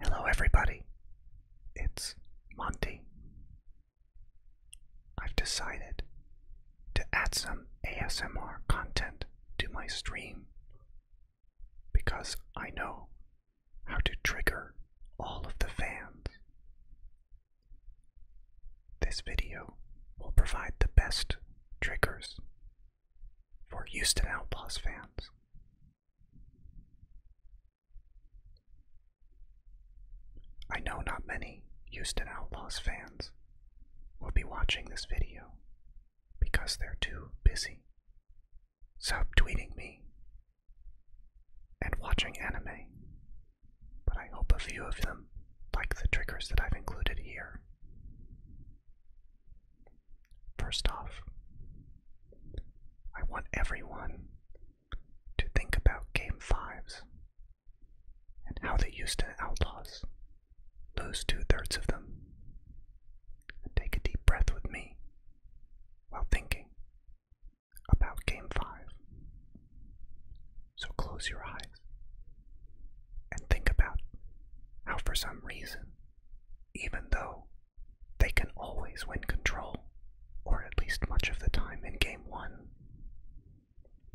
Hello, everybody. It's Monty. I've decided to add some ASMR content to my stream because I know how to trigger all of the fans. This video will provide the best triggers for Houston Outlaws fans I know not many Houston Outlaws fans will be watching this video because they're too busy subtweeting me and watching anime, but I hope a few of them like the triggers that I've included here. First off, I want everyone to think about Game 5s and how they used to Outlaws lose two thirds of them. And take a deep breath with me while thinking about Game 5. So close your eyes and think about how, for some reason, even though they can always win control, or at least much of the time in Game 1.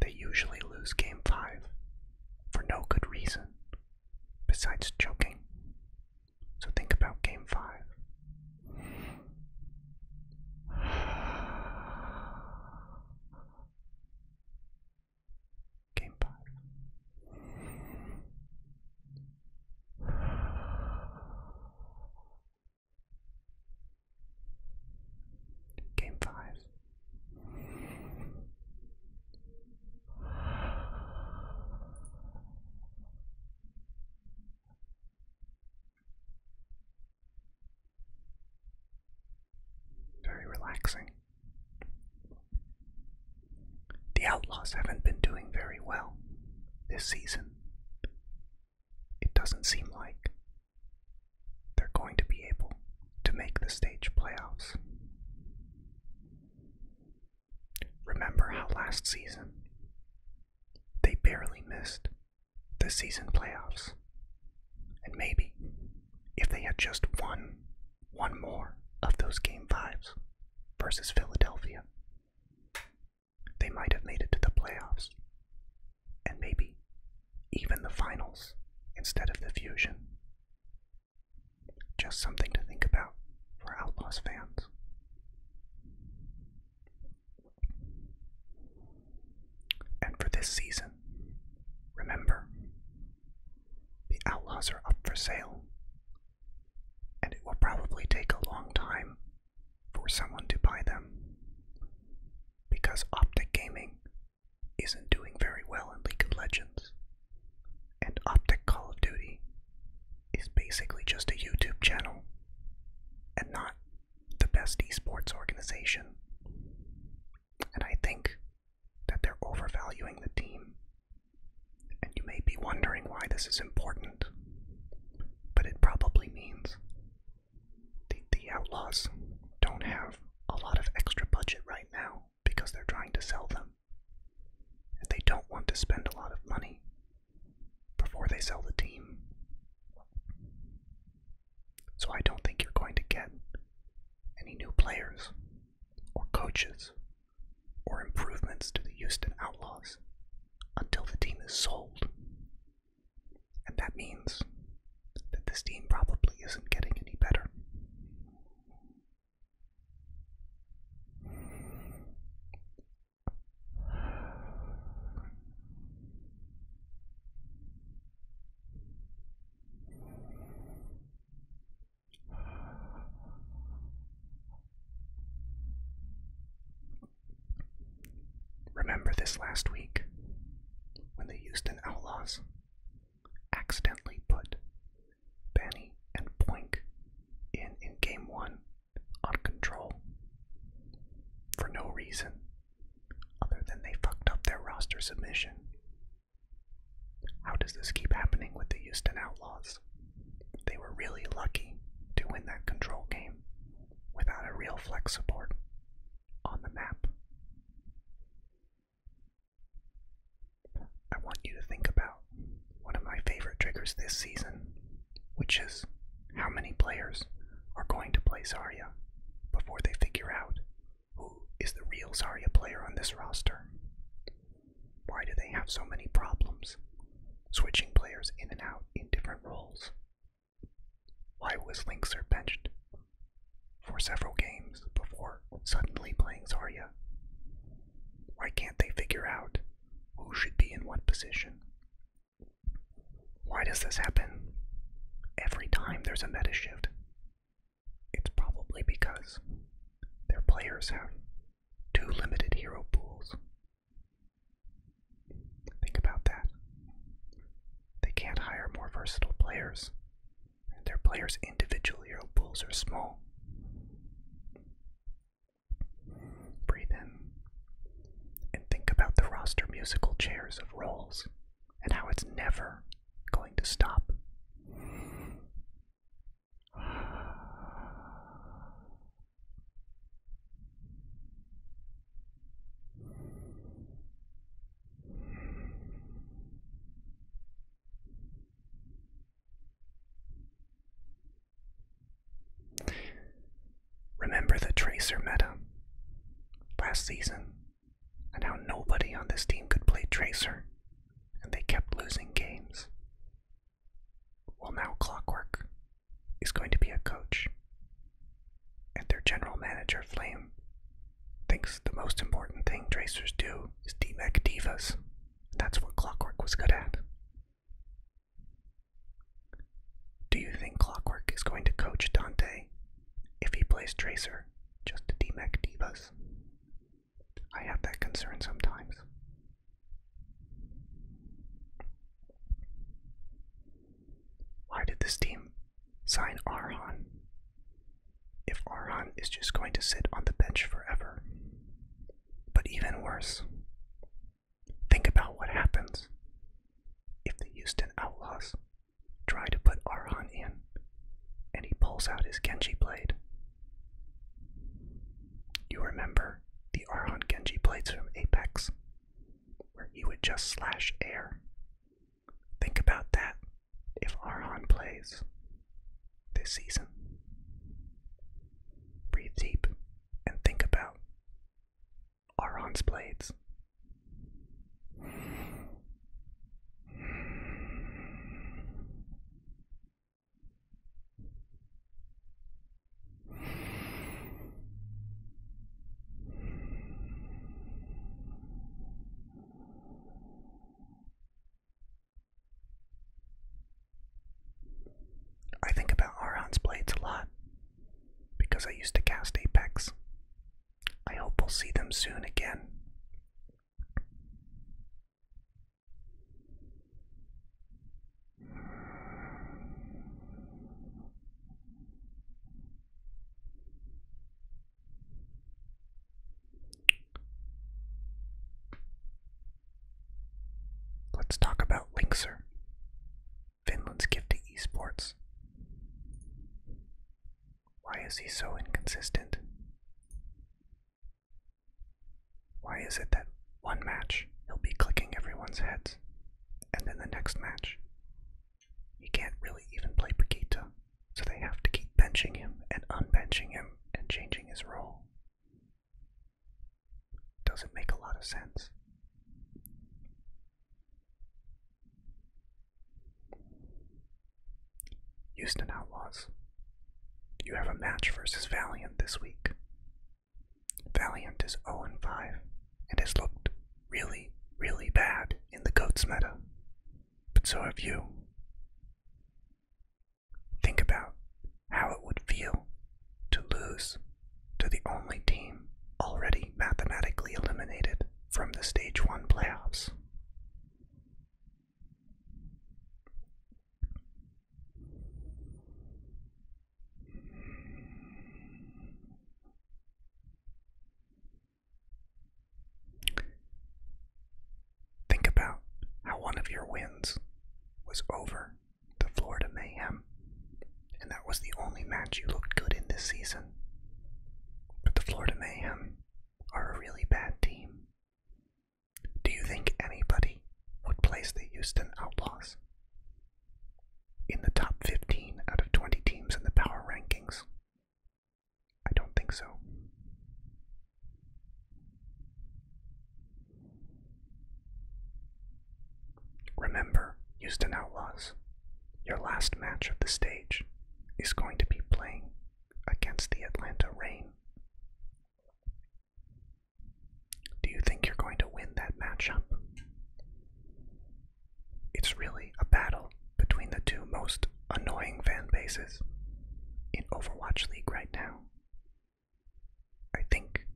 They usually lose Game 5 for no good reason besides joking. So think about Game 5. Game Pass. Game five. Very relaxing. The Outlaws haven't been doing very well this season. It doesn't seem like they're going to be able to make the stage playoffs. Remember how last season they barely missed the season playoffs? And maybe if they had just won one more of those game fives versus Philadelphia. They might have made it to the playoffs and maybe even the finals instead of the fusion. Just something to think about for Outlaws fans. And for this season, remember the outlaws are up for sale, and it will probably take a long time for someone to buy them because Optic Gaming isn't doing very well in League of Legends, and Optic Call of Duty is basically just a YouTube channel and not the best esports organization. And I think that they're overvaluing the team. And you may be wondering why this is important, but it probably means the, the Outlaws don't have a lot of extra budget right now because they're trying to sell them. And they don't want to spend a lot of money before they sell the team. So I don't think you're going to get any new players or coaches or improvements to the Houston Outlaws until the team is sold. And that means that this team probably isn't getting any better. Remember this last week when the Houston Outlaws accidentally put Benny and Boink in in game one on control for no reason other than they fucked up their roster submission how does this keep happening with the Houston Outlaws? They were really lucky to win that control game without a real flex support on the map. I want you to think about one of my favorite triggers this season, which is how many players are going to play Zarya before they figure out who is the real Zarya player on this roster? Why do they have so many problems? Switching players in and out in different roles. Why was Linkser benched for several games before suddenly playing Zarya? Why can't they figure out who should be in what position? Why does this happen every time there's a meta shift? It's probably because their players have too limited hero pools. Think about that. They can't hire more versatile players, their players' individual hero pools are small. Breathe in and think about the roster musical chairs of roles and how it's never going to stop. Remember the Tracer meta last season? and how nobody on this team could play Tracer, and they kept losing games. Well, now Clockwork is going to be a coach, and their general manager, Flame, thinks the most important thing Tracers do is DMEC Divas. That's what Clockwork was good at. Do you think Clockwork is going to coach Dante if he plays Tracer just to DMAC Divas? I have that concern sometimes. Why did this team sign Arhan if Arhan is just going to sit on the bench forever? But even worse, think about what happens if the Houston Outlaws try to put Arhan in, and he pulls out his Genji blade. You remember the Arhan Genji blades from Apex, where he would just slash air. Think about that if Arhan plays this season. Breathe deep and think about Auron's blades. I think about Auron's blades a lot because I used to cast Apex. I hope we'll see them soon again. Let's talk about Linkser. Finland's gift to esports. Why is he so inconsistent? Why is it that one match he'll be clicking everyone's heads, and then the next match he can't really even play Paquita, so they have to keep benching him and unbenching him and changing his role? Doesn't make a lot of sense. Houston Outlaws, you have a match versus Valiant this week. Valiant is 0 5 and has looked really, really bad in the Goats meta, but so have you. Think about how it would feel to lose to the only team already mathematically eliminated from the Stage 1 playoffs. Think about how one of your wins was over the Florida Mayhem, and that was the only match you looked good in this season. But the Florida Mayhem are a really bad team. Do you think anybody would place the Houston Outlaws in the top 15 out of 20 teams in the power rankings? I don't think so. Remember, Houston Outlaws, your last match of the stage is going to be playing against the Atlanta Rain. Do you think you're going to win that matchup? It's really a battle between the two most annoying fan bases in Overwatch League right now. I think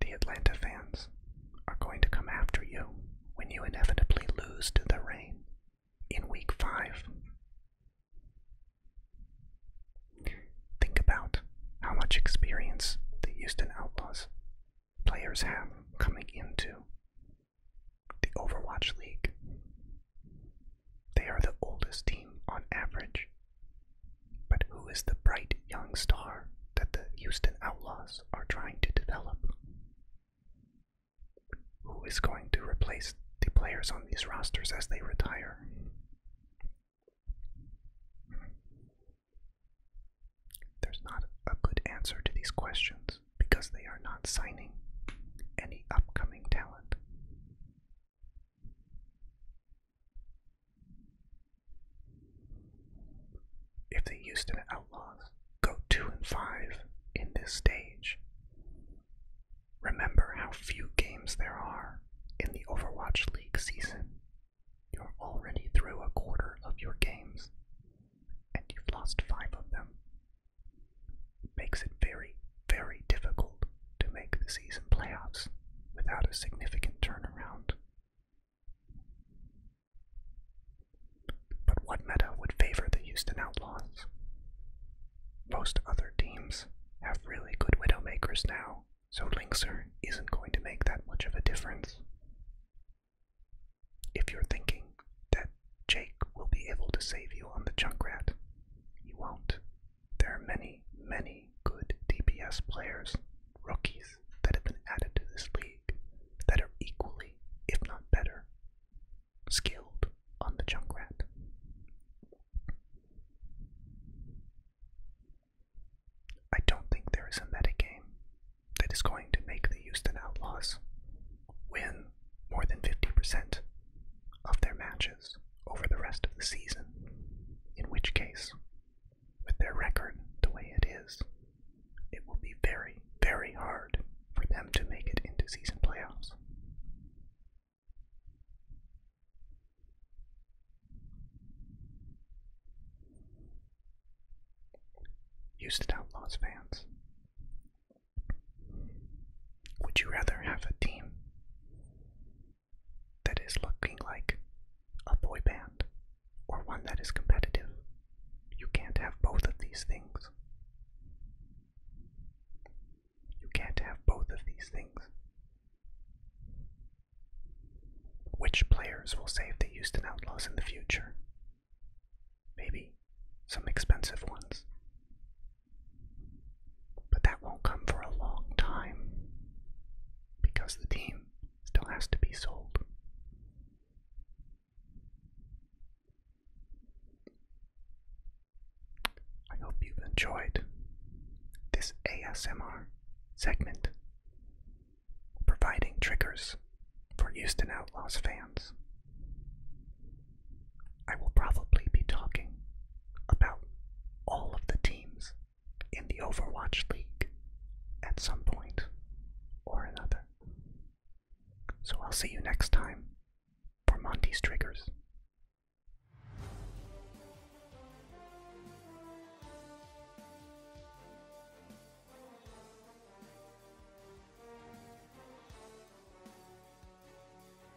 the Atlanta fans are going to come after you when you inevitably lose to the rain in week five. Think about how much experience the Houston Outlaws players have coming into the Overwatch League. They are the oldest team on average but who is the bright young star that the Houston Outlaws are trying to develop? Who is going to replace the players on these rosters as they retire? There's not a good answer to these questions because they are not signing any upcoming talent. If the Houston Outlaws go 2 and 5 in this stage, remember how few games there are in the Overwatch League season. You're already through a quarter of your games, and you've lost 5 of them. makes it very, very difficult to make the season playoffs without a significant turnaround. But what meta would favor the Houston Outlaws? Most other teams have really good Widowmakers now, so Linkser isn't going to make that much of a difference. If you're thinking that Jake will be able to save you on the Junkrat, he won't. There are many, many good DPS players, rookies, that have been added to this league that are equally, if not better, skilled on the Junkrat. I don't think there is a meta game that is going to make the Houston Outlaws win more than 50% of their matches over the rest of the season, in which case, with their record the way it is, it will be very, very hard for them to make it into season playoffs. Houston Outlaws fans, would you rather have a team that is looking like a boy band or one that is competitive. You can't have both of these things. You can't have both of these things. Which players will save the Houston Outlaws in the future? Maybe some expensive ones. But that won't come for a long time because the team still has to be sold. I hope you've enjoyed this ASMR segment providing triggers for Houston Outlaws fans. I will probably be talking about all of the teams in the Overwatch League at some point or another. So I'll see you next time for Monty's Triggers.